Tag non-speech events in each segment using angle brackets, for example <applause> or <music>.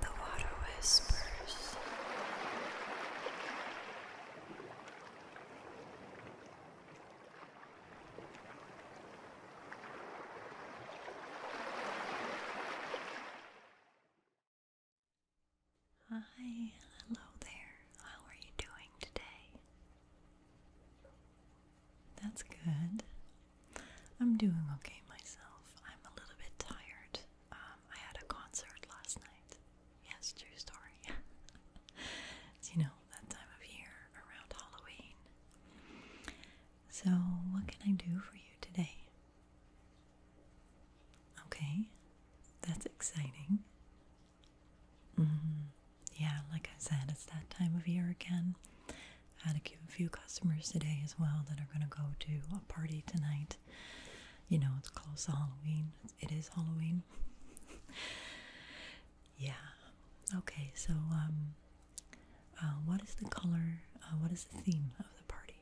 The water whispers. Hi, hello there. How are you doing today? That's good. I'm doing okay myself. I'm a little bit tired. Um, I had a concert last night. Yes, true story. <laughs> you know, that time of year around Halloween. So, what can I do for you today? Okay, that's exciting. Mm-hmm. yeah, like I said, it's that time of year again. I had a few customers today as well that are going to go to a party tonight. You know, it's close to Halloween. It is Halloween. <laughs> yeah. Okay, so um, uh, what is the color, uh, what is the theme of the party?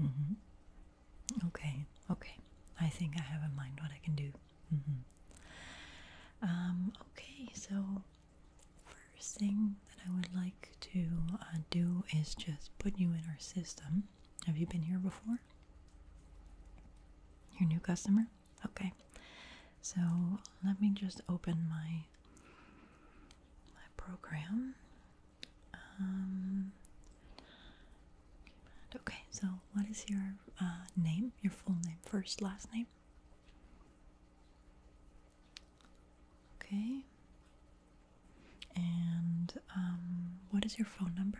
Mm-hmm. Okay, okay. I think I have in mind what I can do. Mm-hmm. Um, okay, so First thing that I would like to uh, do is just put you in our system. Have you been here before? Your new customer? Okay. So let me just open my my program. Um, okay. So what is your uh, name? Your full name, first, last name? Okay. And um, what is your phone number?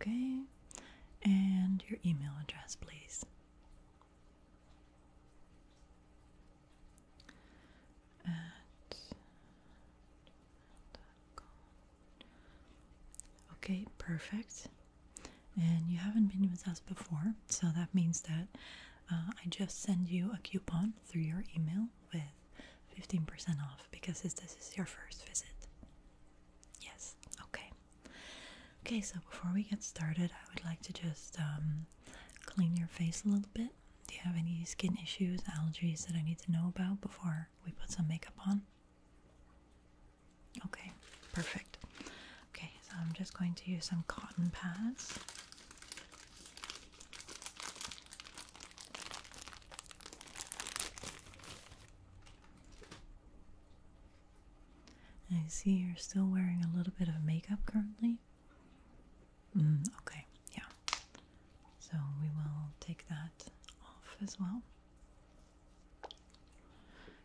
Okay. And your email address, please. Okay, perfect. And you haven't been with us before, so that means that uh, I just send you a coupon through your email with 15% off because this is your first visit. Yes, okay. Okay, so before we get started, I would like to just um, clean your face a little bit. Do you have any skin issues, allergies that I need to know about before we put some makeup on? Okay, perfect. Okay, so I'm just going to use some cotton pads. I see you're still wearing a little bit of makeup currently. Mm, okay, yeah. So we will take that off as well.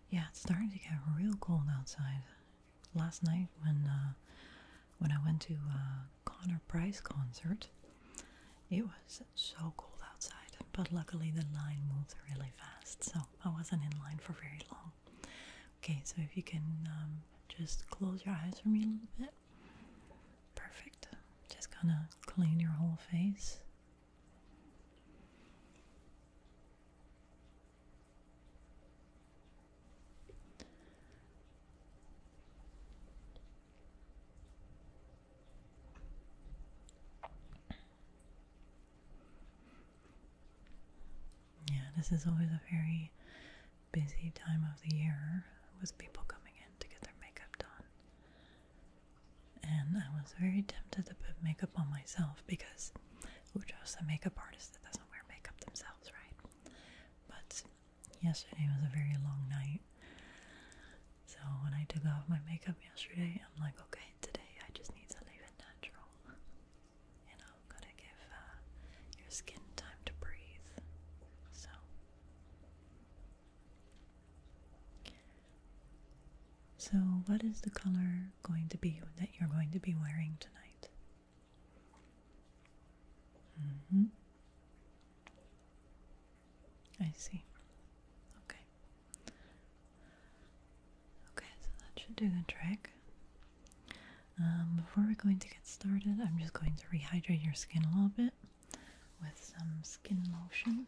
Yeah, it's starting to get real cold outside. Last night when uh, when I went to uh, Connor Price concert, it was so cold outside. But luckily the line moved really fast, so I wasn't in line for very long. Okay, so if you can um, just close your eyes for me a little bit. Perfect. Just gonna clean your whole face. Yeah, this is always a very busy time of the year with people coming in to get their makeup done and I was very tempted to put makeup on myself because who trusts a makeup artist that doesn't wear makeup themselves, right? But yesterday was a very long night. So when I took off my makeup yesterday, I'm like, okay, today I just need to leave it natural. You know, gotta give uh, your skin time to breathe. So so, what is the color going to be that you're going to be wearing tonight? Mm-hmm. I see. Okay. Okay, so that should do the trick. Um, before we're going to get started, I'm just going to rehydrate your skin a little bit with some skin lotion.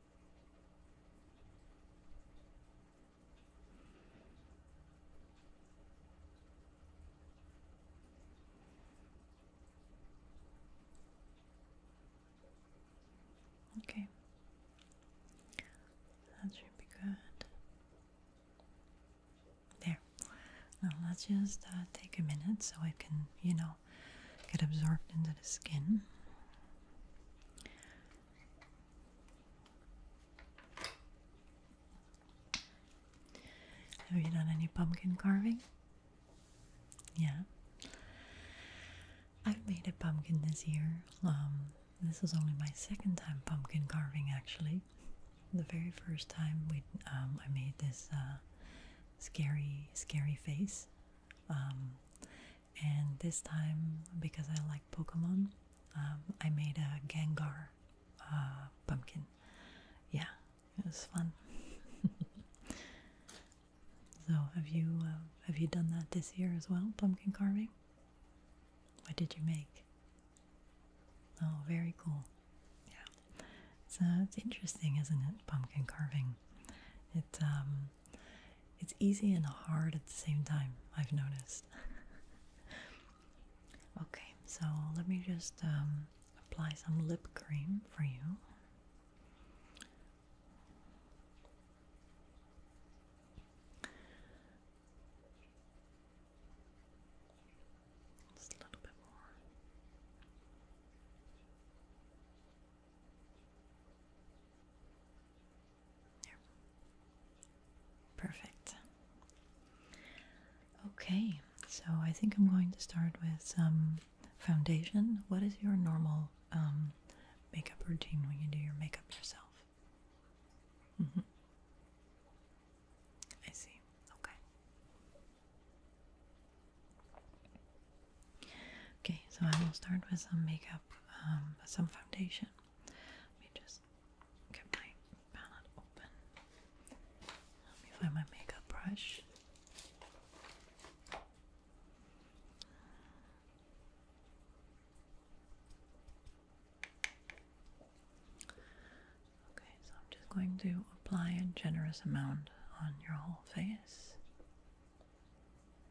Okay, that should be good. There, now let's just uh, take a minute so I can, you know, get absorbed into the skin. Have you done any pumpkin carving? Yeah. I've made a pumpkin this year. Um, this is only my second time pumpkin carving actually. The very first time we um, I made this uh, scary, scary face um, and this time, because I like Pokemon, um, I made a Gengar uh, pumpkin. Yeah, it was fun. <laughs> so, have you uh, have you done that this year as well? Pumpkin carving. What did you make? Oh, very cool. Yeah, it's it's interesting, isn't it? Pumpkin carving. It um, it's easy and hard at the same time, I've noticed. <laughs> okay, so let me just um, apply some lip cream for you. Just a little bit more. Perfect. Okay, so I think I'm going to start with some foundation. What is your normal um, makeup routine when you do your makeup yourself? Mm-hmm. I see. Okay. Okay, so I will start with some makeup, um, some foundation. Let me just get my palette open. Let me find my makeup brush. Okay, so I'm just going to apply a generous amount on your whole face.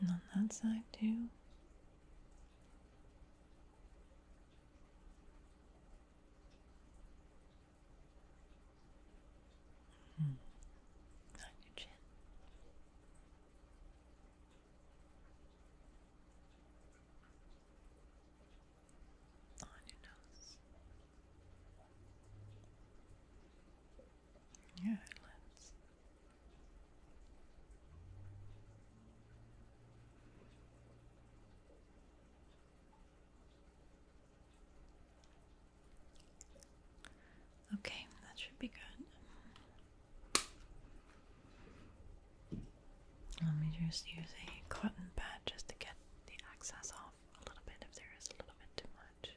And on that side too. On hmm. your chin. On your nose. Your eyelids. Okay, that should be good. Let me just use a cotton pad just to get the excess off a little bit if there is a little bit too much.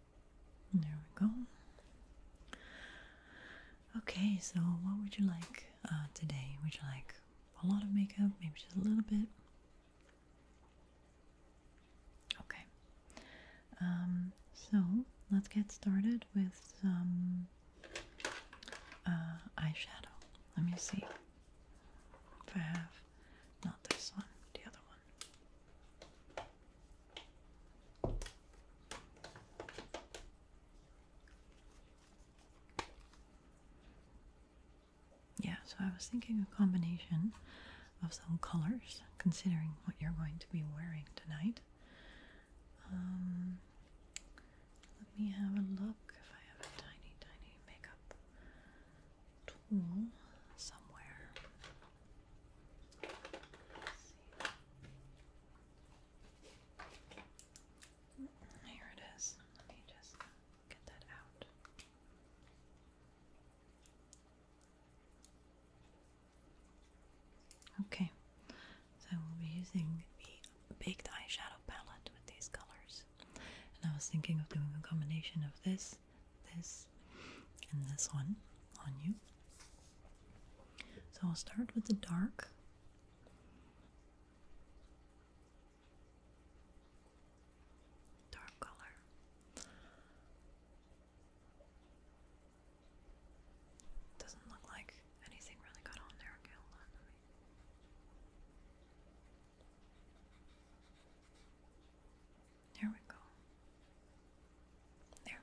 There we go. Okay, so what would you like uh, today? Would you like a lot of makeup? Maybe just a little bit? Okay. Um, so let's get started with some uh, eyeshadow. Let me see if I have not this one, the other one. Yeah, so I was thinking a combination of some colors, considering what you're going to be wearing tonight. Um, let me have a look if I have a tiny, tiny makeup tool somewhere. Here it is. Let me just get that out. Okay, so we'll be using the baked eyeshadow palette with these colors. And I was thinking of doing a combination of this, this, and this one on you. So I'll start with the dark. Dark color. Doesn't look like anything really got on there. Okay, we go. There.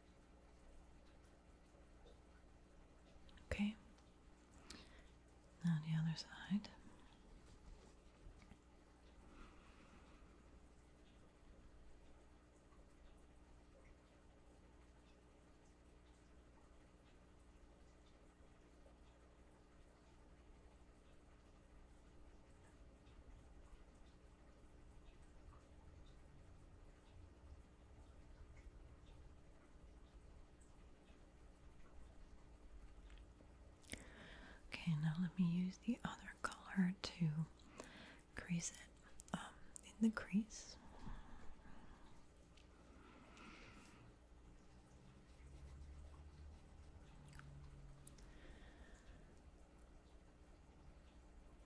Okay. Now the other side. Okay, now let me use the other color to crease it um, in the crease.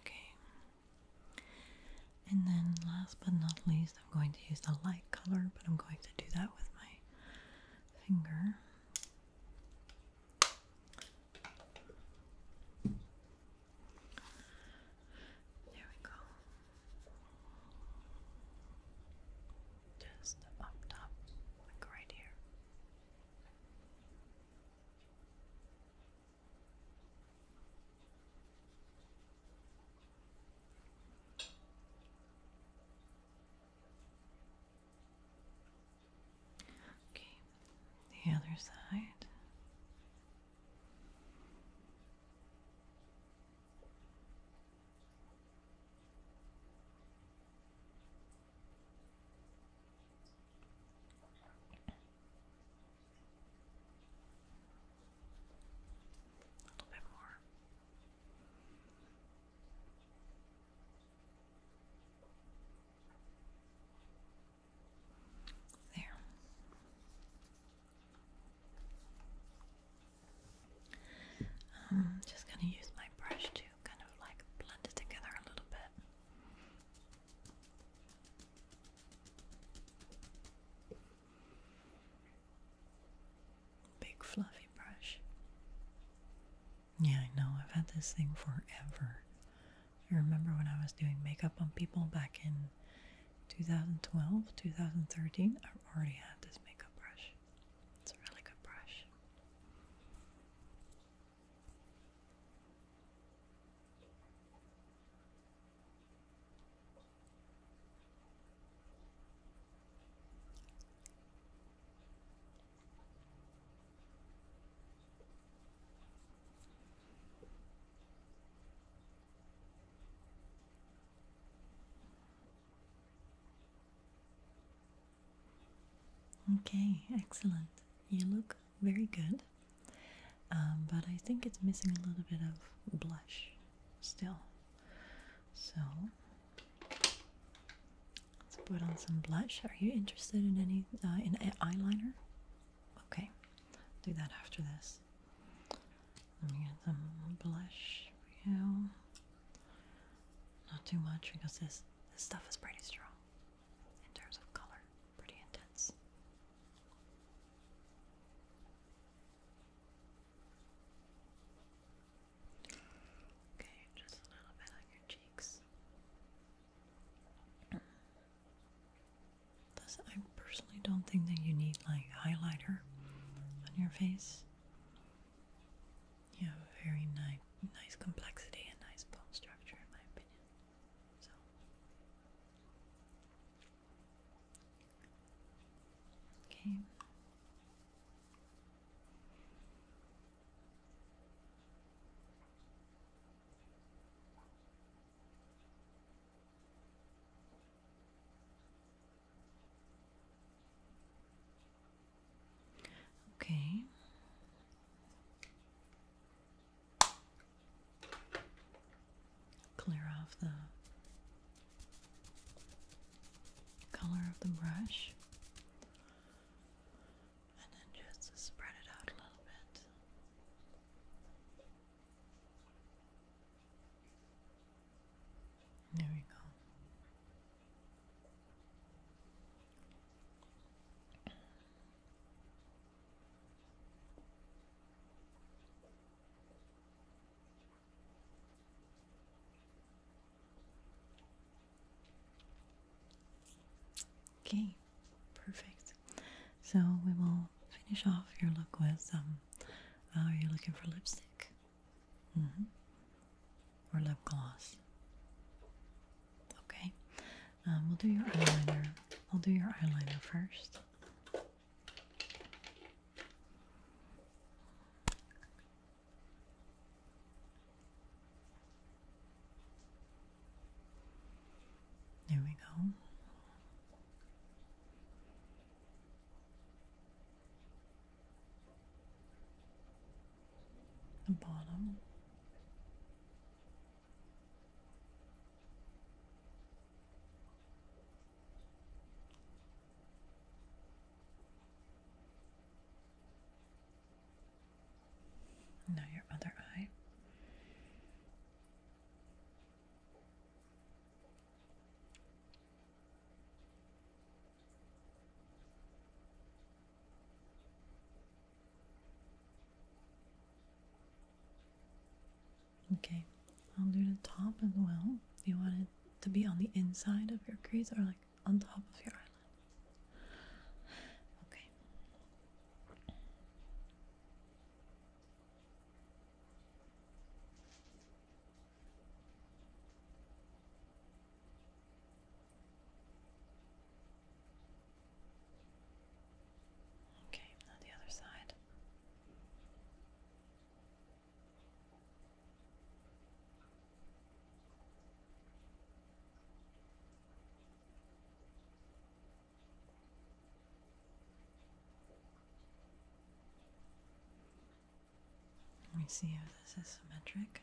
Okay. And then last but not least, I'm going to use the light color, but I'm going to do that with my finger. There we go just up top, like right here. Okay, the other side. A little bit more. There. I'm um, just going to use my brush to kind of like blend it together a little bit. Big fluffy brush. Yeah, I know, I've had this thing forever. I remember when I was doing makeup on people back in 2012, 2013, I already had this makeup brush. It's a really good brush. Okay, excellent. You look very good, um, but I think it's missing a little bit of blush still. So let's put on some blush. Are you interested in any uh, in eyeliner? Okay, do that after this. Let me get some blush for you. Not too much because this this stuff is pretty strong in terms of color, pretty intense. Okay, just a little bit on your cheeks. I personally don't think that you need like highlighter on your face. You have a very nice, nice complexity and nice bone structure, in my opinion. So, okay. Okay. Clear off the color of the brush and then just spread it out a little bit. There we go. Okay, perfect. So we will finish off your look with some. Um, are uh, you looking for lipstick? Mm-hmm or lip gloss. Okay, um, we'll do your eyeliner. I'll do your eyeliner first. There we go the bottom. Now, your other eye. Okay, I'll do the top as well. You want it to be on the inside of your crease or like on top of your eyelid. Okay. Okay, the other side. Let me see if this is symmetric.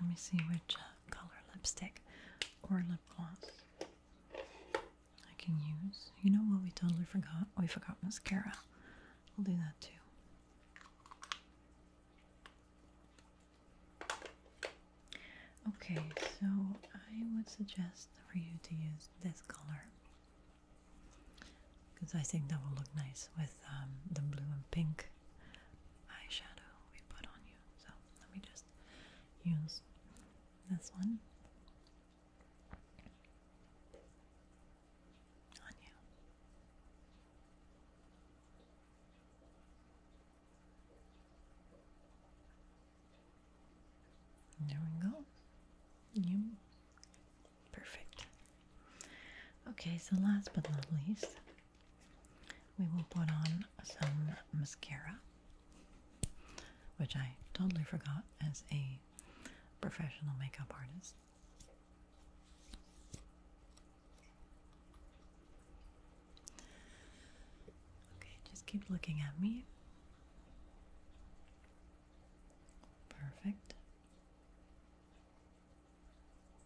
Let me see which uh, color lipstick or lip gloss I can use. You know what we totally forgot? we forgot mascara. We'll do that too. Okay, so I would suggest for you to use this color because I think that will look nice with um, the blue and pink eyeshadow we put on you. So let me just use this one on you. There we go. You Perfect. Okay, so last but not least, we will put on some mascara, which I totally forgot as a professional makeup artist. Okay, just keep looking at me. Perfect.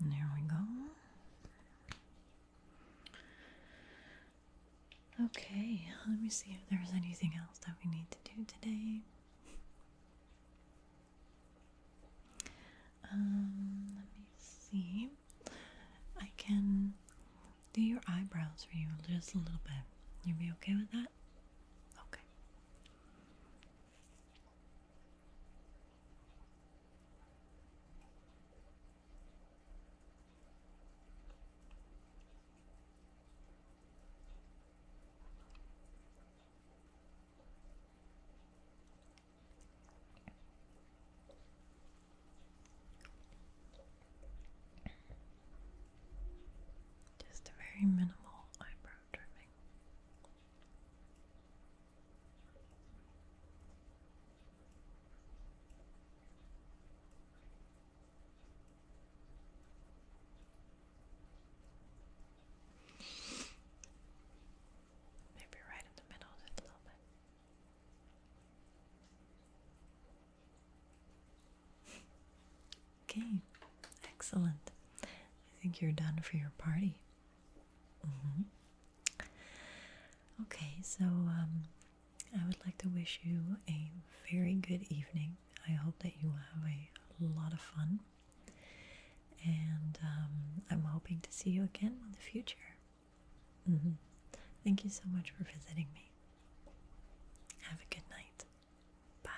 there we go. Okay, let me see if there's anything else that we need to do today. Um, let me see. I can do your eyebrows for you just a little bit. You be okay with that? Okay. Just a very minimal eyebrow trimming. Maybe right in the middle just a little bit. Okay, excellent. I think you're done for your party. Mm-hmm. Okay, so um, I would like to wish you a very good evening. I hope that you have a lot of fun, and um, I'm hoping to see you again in the future. Mm-hmm. Thank you so much for visiting me. Have a good night. Bye.